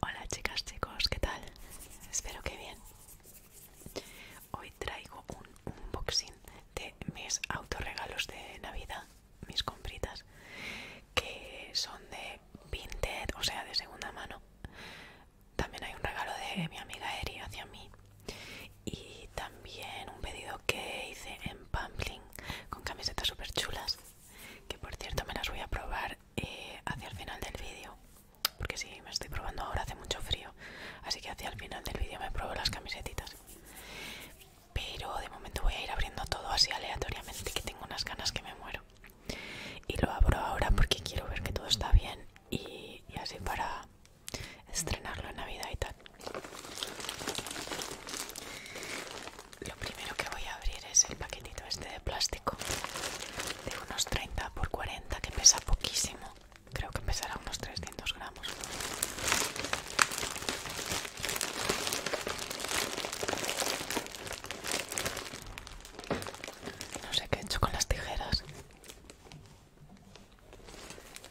Hola chicas, chicos, ¿qué tal? Espero que bien. Hoy traigo un unboxing de mis autorregalos de Navidad, mis compritas, que son de Vinted, o sea, de segunda mano. También hay un regalo de mi amiga Eri hacia mí y también un pedido que hice en Pampling con camisetas super chulas que por cierto me las voy a probar eh, hacia el final del vídeo porque si me estoy probando ahora hace mucho frío así que hacia el final del vídeo me pruebo las camisetas pero de momento voy a ir abriendo todo así aleatoriamente que tengo unas ganas que me muero y lo abro ahora porque quiero ver que todo está bien y así para estrenarlo en Navidad y tal. Lo primero que voy a abrir es el paquetito este de plástico de unos 30 x 40 que pesa poquísimo. Creo que pesará unos 300 gramos. No sé qué he hecho con las tijeras.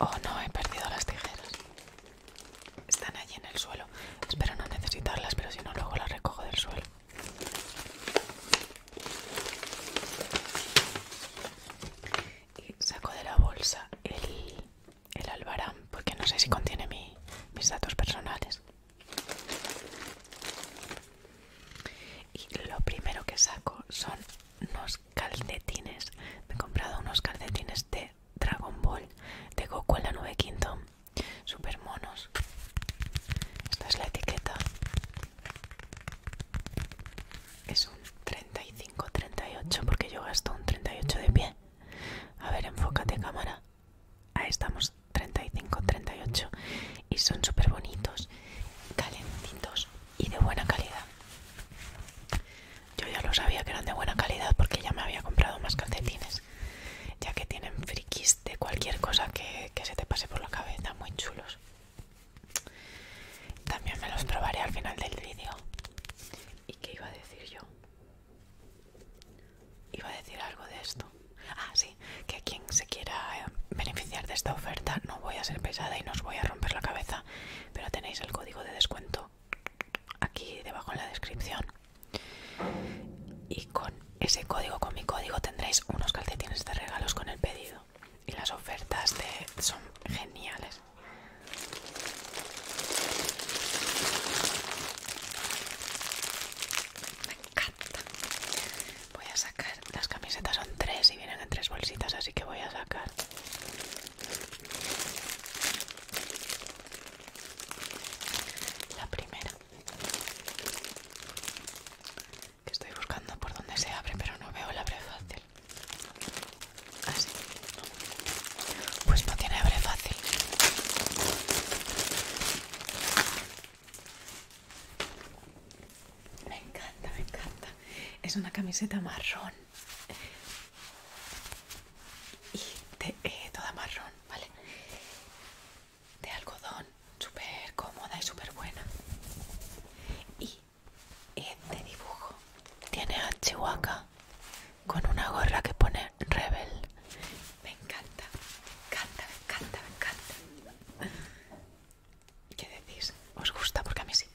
Oh no, he perdido las tijeras. Están allí en el suelo. Espero no necesitarlas, pero si no, luego las recojo del suelo. Y saco de la bolsa el, el albarán, porque no sé si contiene mis datos personales. Y lo primero que saco son unos calcetines. Me he comprado unos calcetines de Dragon Ball de Goku en la 9 quinto. Super monos. Esta es la etiqueta. Es un 35-38 porque yo gasto un 38 de pie. A ver, enfócate cámara. Ahí estamos, 35-38. Y son súper bonitos, calentitos y de buena calidad. Yo ya lo sabía que eran de buena calidad porque ya me había comprado más calcetines. Ya que tienen frikis de cualquier cosa que, que se te pase por la cabeza, muy chulos. También me los probaré al final del vídeo. ¿Y qué iba a decir yo? Iba a decir algo de esto. Ah, sí, que quien se quiera eh, beneficiar de esta oferta no voy a ser pesada y no os voy a romper la cabeza pero tenéis el código de descuento aquí debajo en la descripción y con ese código con mi código tendréis unos calcetines de regalos con el pedido y las ofertas de, son geniales me encanta voy a sacar las camisetas son tres y vienen en tres bolsitas así que voy a sacar la primera. Que estoy buscando por dónde se abre, pero no veo la abre fácil. Así. Ah, pues no tiene abre fácil. Me encanta, me encanta. Es una camiseta marrón y de, eh, toda marrón, ¿vale? De algodón, súper cómoda y súper buena. Y este dibujo tiene a Chihuahua con una gorra que pone Rebel. Me encanta, me encanta, me encanta, me encanta. ¿Qué decís? ¿Os gusta? Porque a mí sí.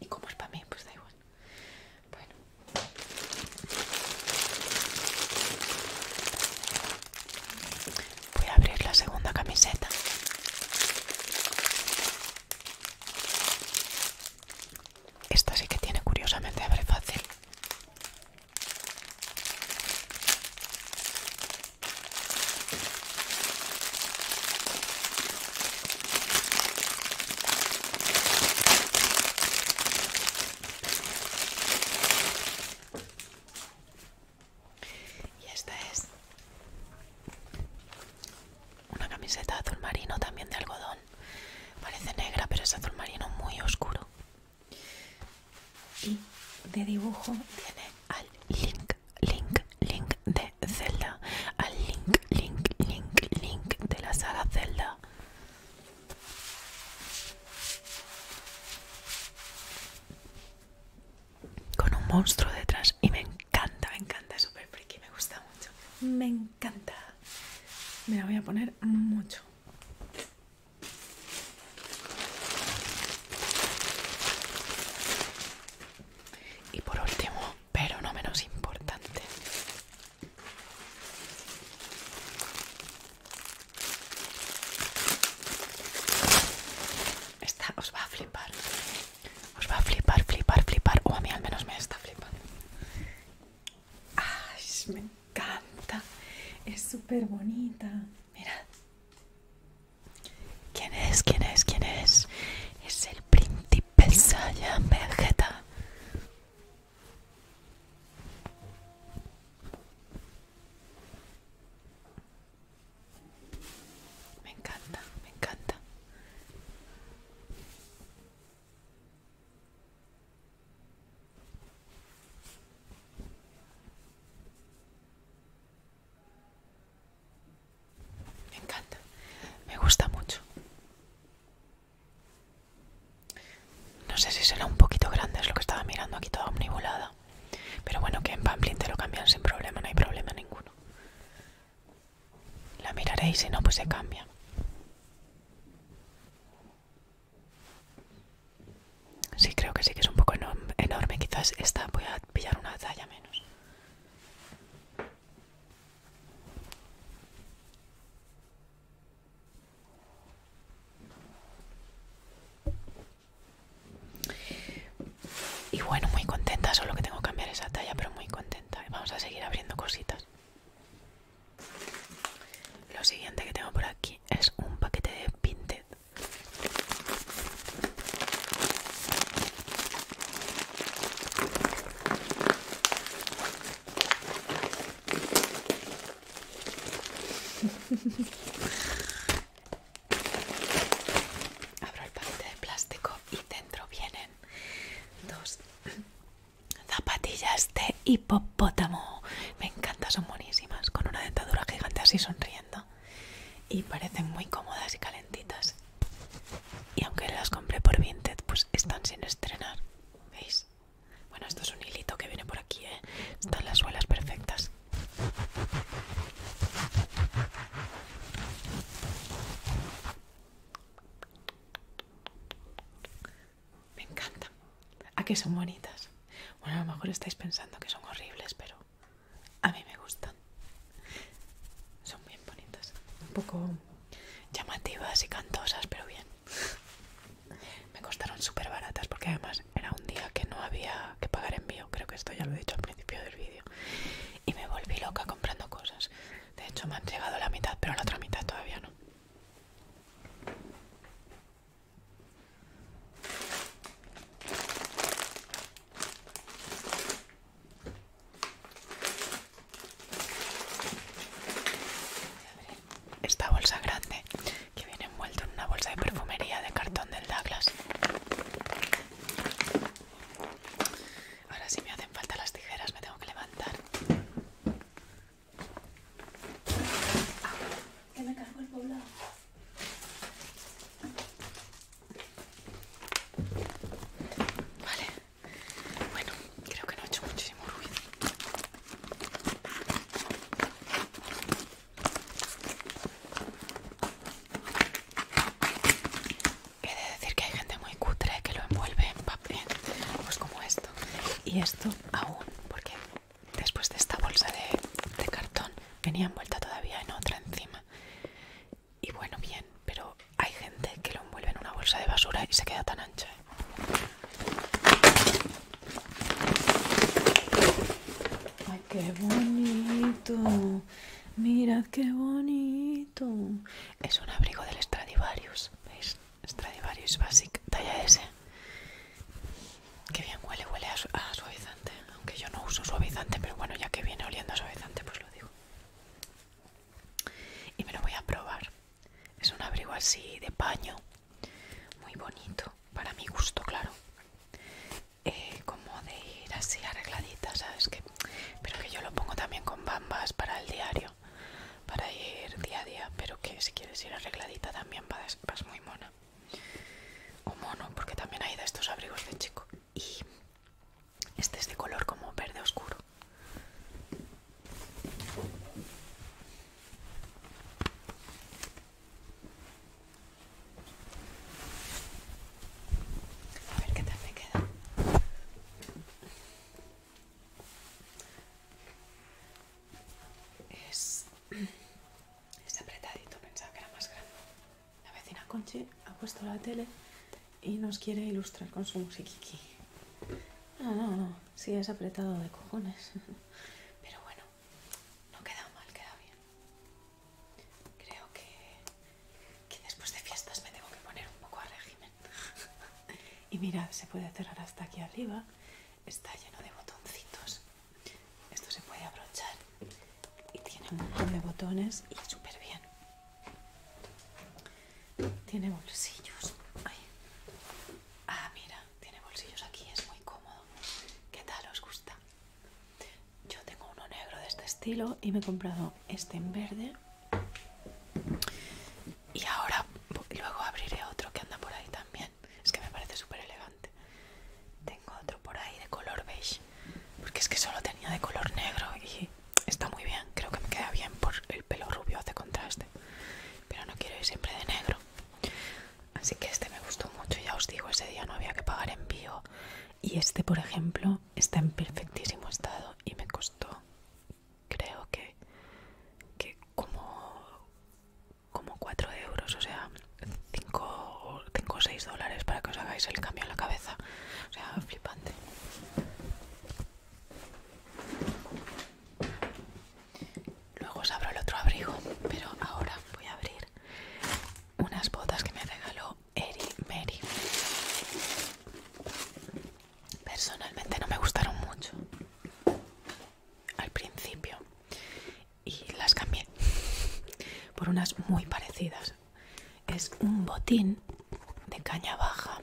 Y como es para mí, pues da igual. Bueno. Voy a abrir la segunda camiseta. Esta sí que tiene curiosamente abre fácil. Y esta es una camiseta azul marino también de algodón. Parece negra, pero es azul marino muy oscuro. Y de dibujo tiene al Link link, link de Zelda, al link, link, link, link de la sala Zelda. Con un monstruo detrás y me encanta, me encanta, es súper friki, me gusta mucho. Me encanta. Me la voy a poner mucho. Y por último, pero no menos importante, esta os va a flipar. Os va a flipar, flipar, flipar. O a mí al menos me está flipando. ¡Ay, me encanta! Es súper bonita. Mirad. ¿Quién es? ¿Quién es? ¿Quién es? Es el príncipe Saiyan Vegeta. Me encanta, me encanta. Me encanta. Me gusta mucho. No sé si será un poquito grande, es lo que estaba mirando aquí toda omnibulada. Pero bueno, que en Pamplin te lo cambian sin problema, no hay problema ninguno. La miraré y si no, pues se cambia. Sí, creo que sí que es un poco enorme. Quizás esta voy a pillar una talla menos. Y bueno, muy contenta, solo que tengo que cambiar esa talla, pero muy contenta. Vamos a seguir abriendo cositas. Lo siguiente que tengo por aquí es un paquete de Pinted. Abro el paquete de plástico y dentro vienen dos zapatillas de hipopótamo. Me encanta, son buenísimas. Con una dentadura gigante así sonriendo y parecen muy cómodas y calentitas. Y aunque las compré por Vinted, pues están sin estrenar. ¿Veis? Bueno, esto es un hilito que viene por aquí, ¿eh? Están las suelas perfectas. Me encanta. ¿A ah, que son bonitas? Bueno, a lo mejor estáis pensando que son horribles, pero a mí me gustan son bien bonitas un poco llamativas y cantosas pero bien me costaron súper baratas porque además era un día que no había que pagar envío creo que esto ya lo he dicho al principio del vídeo y me volví loca comprando cosas de hecho me han llegado la mitad pero la otra mitad todavía no esta bolsa grande que viene envuelta en una bolsa de perfumería de cartón del Douglas. Ahora si me hacen falta las tijeras me tengo que levantar. que ah, me cargo el poblado. Vale. Bueno, creo que no ha hecho muchísimo ruido. He de decir que hay gente muy cutre que lo envuelve en papel, pues como esto. Y esto aún, porque después de esta bolsa de cartón venía envuelta todavía en otra encima. Y bueno, bien, pero hay gente que lo envuelve en una bolsa de basura y se queda tan ancha. ¿eh? Ay, qué bonito. Mirad qué bonito. Es un abrigo del Stradivarius. ¿Veis? Stradivarius Basic, talla S. Que bien huele, huele a, suavizante. Aunque yo no uso suavizante, pero bueno, ya que viene oliendo a suavizante, pues lo digo. Y me lo voy a probar. Es un abrigo así de paño, muy bonito, para mi gusto, claro. Eh, como de ir así arregladita, ¿sabes? Que, pero que yo lo pongo también con bambas para el diario, para ir día a día. Pero que si quieres ir arregladita también vas, vas muy mona o mono, porque también hay de estos abrigos de chico. Y este es de color como verde oscuro. A ver qué tal me queda. Es es apretadito, pensaba que era más grande. La vecina Conchi ha puesto la tele y nos quiere ilustrar con su musiquiqui. No, no, no, sí es apretado de cojones. Pero bueno, no queda mal, queda bien. Creo que, que después de fiestas me tengo que poner un poco a régimen. Y mirad, se puede cerrar hasta aquí arriba. Está lleno de botoncitos esto se puede abrochar y tiene un montón de botones y súper bien. Tiene bolsillos. Ah, mira, tiene bolsillos aquí, es muy cómodo. ¿Qué tal os gusta? Yo tengo uno negro de este estilo y me he comprado este en verde. Y ahora luego abriré otro que anda por ahí también. Es que me parece súper elegante. Tengo otro por ahí de color beige. Porque es que solo tenía de color negro y está muy bien. Creo que me queda bien por el pelo rubio hace contraste. Pero no quiero ir siempre de negro. Así que este me gustó mucho. Ya os digo, ese día no había que pagar envío. Y este, por ejemplo, está en perfectísimo estado y me costó, creo que, que como como 4 euros, o sea, 5 o 6 dólares para que os hagáis el cambio en la cabeza. O sea, flipante. Luego os abro el otro abrigo, pero ahora voy a abrir unas botas que me regaló Eri Mary. Personalmente no me gustaron mucho al principio y las cambié por unas muy parecidas. Es un botín de caña baja.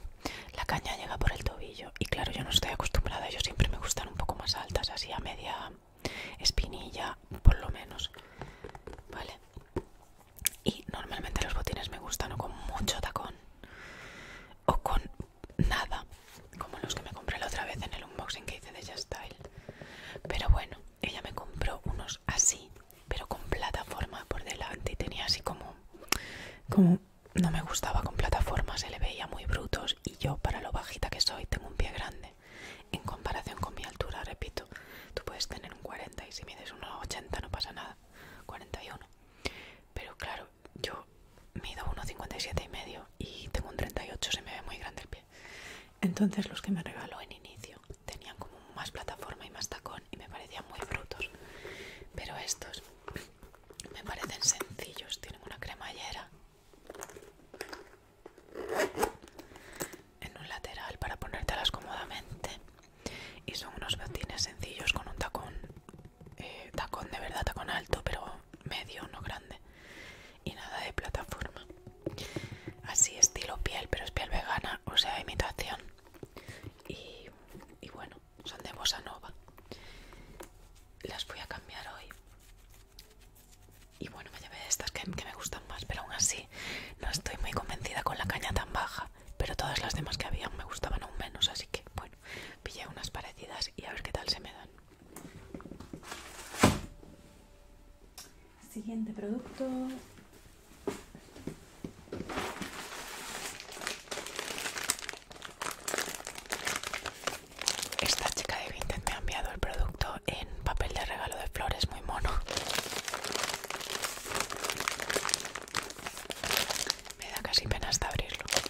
La caña llega por el tobillo y claro, yo no estoy acostumbrada, yo siempre me gustan un poco más altas, así a media espinilla por lo menos. Vale. Y normalmente los botines me gustan o con mucho tacón o con nada como los que me compré la otra vez en el unboxing que hice de Just Style. Pero bueno, ella me compró unos así, pero con plataforma por delante y tenía así como, como no me gustaba con plataforma, se le veía muy brutos y yo para lo bajita que soy tengo un pie grande en comparación con mi altura, repito, tú puedes tener un 40 y si mides unos 80 no pasa nada, 41. Pero claro, yo mido 57 y medio y tengo un 38, se me ve muy grande el pie. Entonces los que me regaló en inicio tenían como más plataforma y más tacón y me parecían muy brutos. Pero estos me parecen sencillos, tienen una cremallera en un lateral para ponértelas cómodamente y son unos botines sencillos con un tacón, eh, tacón de verdad, tacón alto, pero medio, no grande y nada de plataforma. Así estilo piel, pero es piel vegana, o sea, imitación. Y, bueno, son de Bossa Nova. Las voy a cambiar hoy. Y bueno, me llevé estas que, me gustan más, pero aún así no estoy muy convencida con la caña tan baja. Pero todas las demás que habían me gustaban aún menos, así que bueno, pillé unas parecidas y a ver qué tal se me dan. Siguiente producto. Esta chica de Vinted me ha enviado el producto en papel de regalo de flores muy mono. Me da casi pena hasta abrirlo.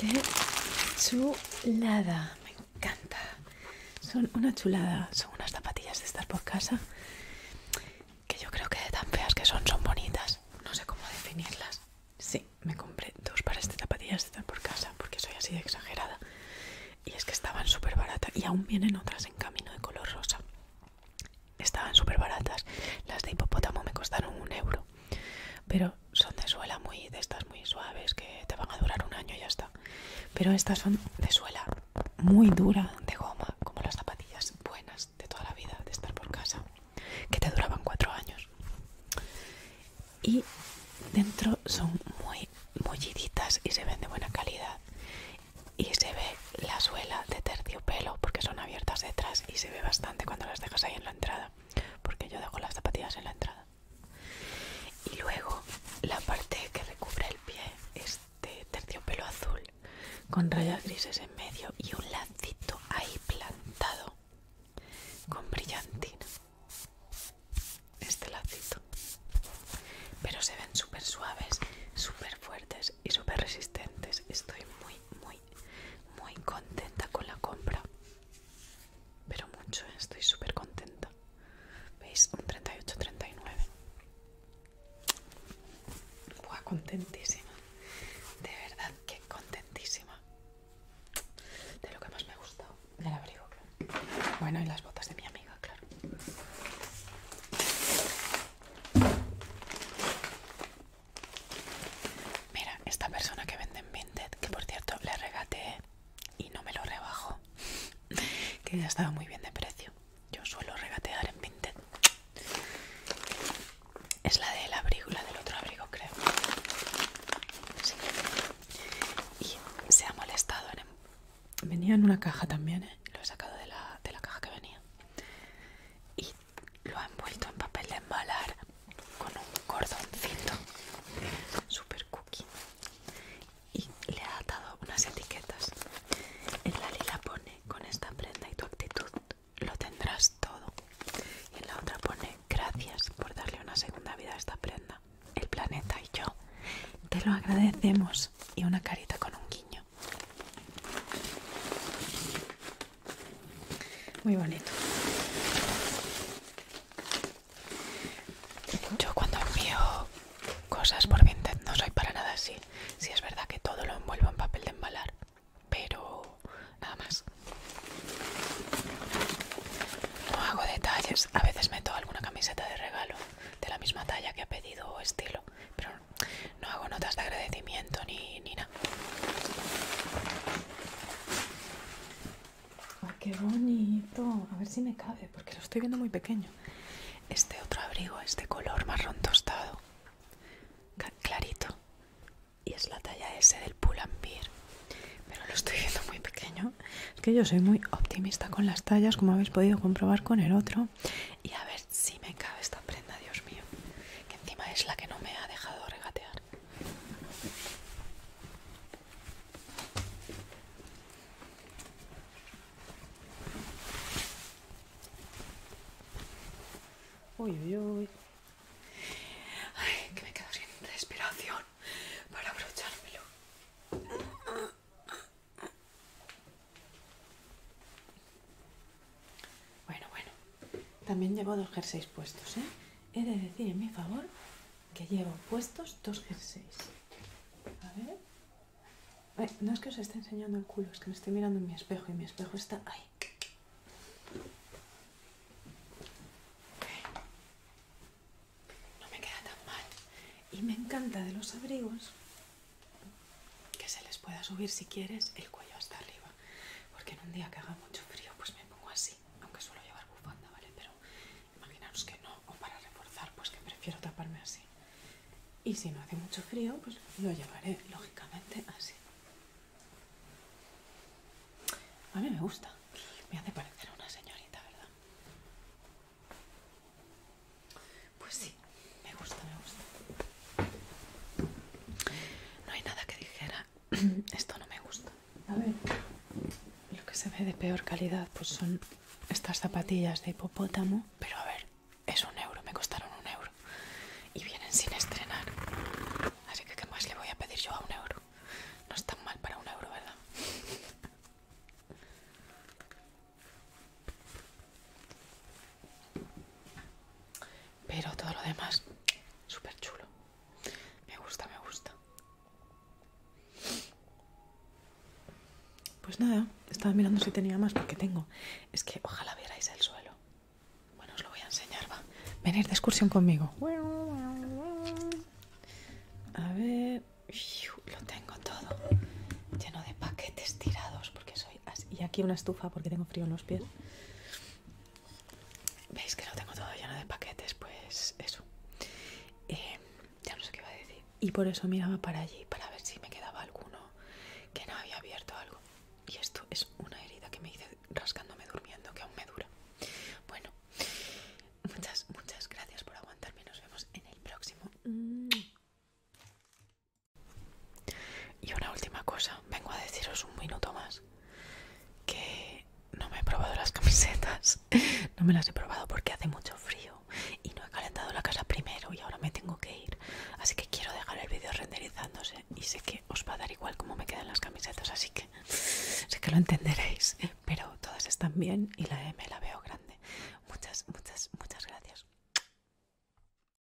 Qué chulada, me encanta. Son una chulada, son unas zapatillas de estar por casa que yo creo que de tan feas que son, son bonitas. No sé cómo definirlas. Sí, me compré dos pares de zapatillas de estar por casa porque soy así exagerada. Y es que estaban súper baratas y aún vienen otras en camino de color rosa. Estaban súper baratas. Las de hipopótamo me costaron un euro. Pero son de suela muy, de estas muy suaves que te van a durar un año y ya está. Pero estas son de suela muy dura, de goma, como las zapatillas buenas de toda la vida, de estar por casa, que te duraban cuatro años. Y dentro son muy mulliditas y se ven de buena calidad. Y se ve la suela de terciopelo porque son abiertas detrás y se ve bastante cuando las dejas ahí en la entrada porque yo dejo las zapatillas en la entrada. Y luego la parte que recubre el pie es de terciopelo azul con rayas grises en medio y un lacito ahí plantado con brillantina. Este lacito. Pero se ven super suaves, super fuertes y super resistentes. Estoy muy, muy, muy contenta con la compra. Pero mucho, ¿eh? estoy súper contenta. ¿Veis? Un 38-39. Buah, contentísima. De verdad que contentísima. De lo que más me gustó gustado. Del abrigo, Bueno, y las botas de mi amiga, claro. Mira, esta persona que vende en Vinted, que por cierto le regateé y no me lo rebajo, que ya estaba muy bien de precio. Yo suelo regatear en Vinted. Es la del abrigo, la del otro abrigo, creo. Y se ha molestado. En... Em- venía en una caja también, ¿eh? lo he sacado de la, de la caja que venía. Y lo ha envuelto en papel de embalar con un cordoncito super cookie y le ha atado unas etiquetas en la lila pone con esta prenda y tu actitud lo tendrás todo y en la otra pone gracias por darle una segunda vida a esta prenda el planeta y yo te lo agradecemos y una carita con un guiño muy bonito. Yo cuando envío cosas por Vinted no soy para nada así. Si es verdad que todo lo envuelvo en papel de embalar, pero nada más. No hago detalles. A veces meto alguna camiseta de regalo de la misma talla que ha pedido o estilo, pero no hago notas de agradecimiento ni nada. Ay, qué bonito. A ver si me cabe, porque lo estoy viendo muy pequeño. Este otro abrigo es de color marrón tostado. Clarito. Y es la talla S del Pull&Bear. Pero lo estoy viendo muy pequeño. Es que yo soy muy optimista con las tallas, como habéis podido comprobar con el otro. Y a ver si me cabe esta prenda, Dios mío que encima es la que no me ha dejado regatear. Uy, uy, uy. Ay, que me quedo sin respiración para abrochármelo. Bueno, bueno. También llevo dos jerseys puestos, ¿eh? He de decir en mi favor que llevo puestos dos jerseys. A ver. no es que os esté enseñando el culo, es que me estoy mirando en mi espejo y mi espejo está ahí. No me queda tan mal. Y me encanta de los abrigos que se les pueda subir si quieres el cuello hasta arriba. Porque en un día que haga mucho frío, pues me pongo así. Aunque suelo llevar bufanda, ¿vale? Pero imaginaros que no. O para reforzar, pues que prefiero taparme así. Y si no hace mucho frío, pues lo llevaré, lógicamente, así. A mí me gusta. Me hace parecer una señorita, ¿verdad? Pues sí, me gusta, me gusta. No hay nada que dijera, esto no me gusta. A ver, lo que se ve de peor calidad pues son estas zapatillas de hipopótamo, pero a ver, es un euro, me costaron un euro y vienen sin estrenar. Así que, ¿qué más le voy a pedir yo a un euro? No es tan mal para un euro, ¿verdad? Pero todo lo demás, súper chulo. Me gusta, me gusta. Pues nada, estaba mirando si tenía más porque tengo. Es que ojalá vierais el suelo. Bueno, os lo voy a enseñar, va. Venir de excursión conmigo. A ver, lo tengo todo lleno de paquetes tirados porque soy y aquí una estufa porque tengo frío en los pies. Veis que no tengo todo lleno de paquetes, pues eso. Eh, ya no sé qué iba a decir. Y por eso miraba para allí, para ver si me quedaba alguno que no había abierto algo. Y esto es una herida que me hice rascándome durmiendo, que aún me dura. Bueno, muchas, muchas gracias por aguantarme. Nos vemos en el próximo. Y una última cosa, vengo a deciros un minuto más que no me he probado las camisetas, no me las he probado porque hace mucho frío y no he calentado la casa primero y ahora me tengo que ir, así que quiero dejar el vídeo renderizándose y sé que os va a dar igual cómo me quedan las camisetas, así que sé que lo entenderéis, pero todas están bien y la M la veo grande. Muchas, muchas, muchas gracias.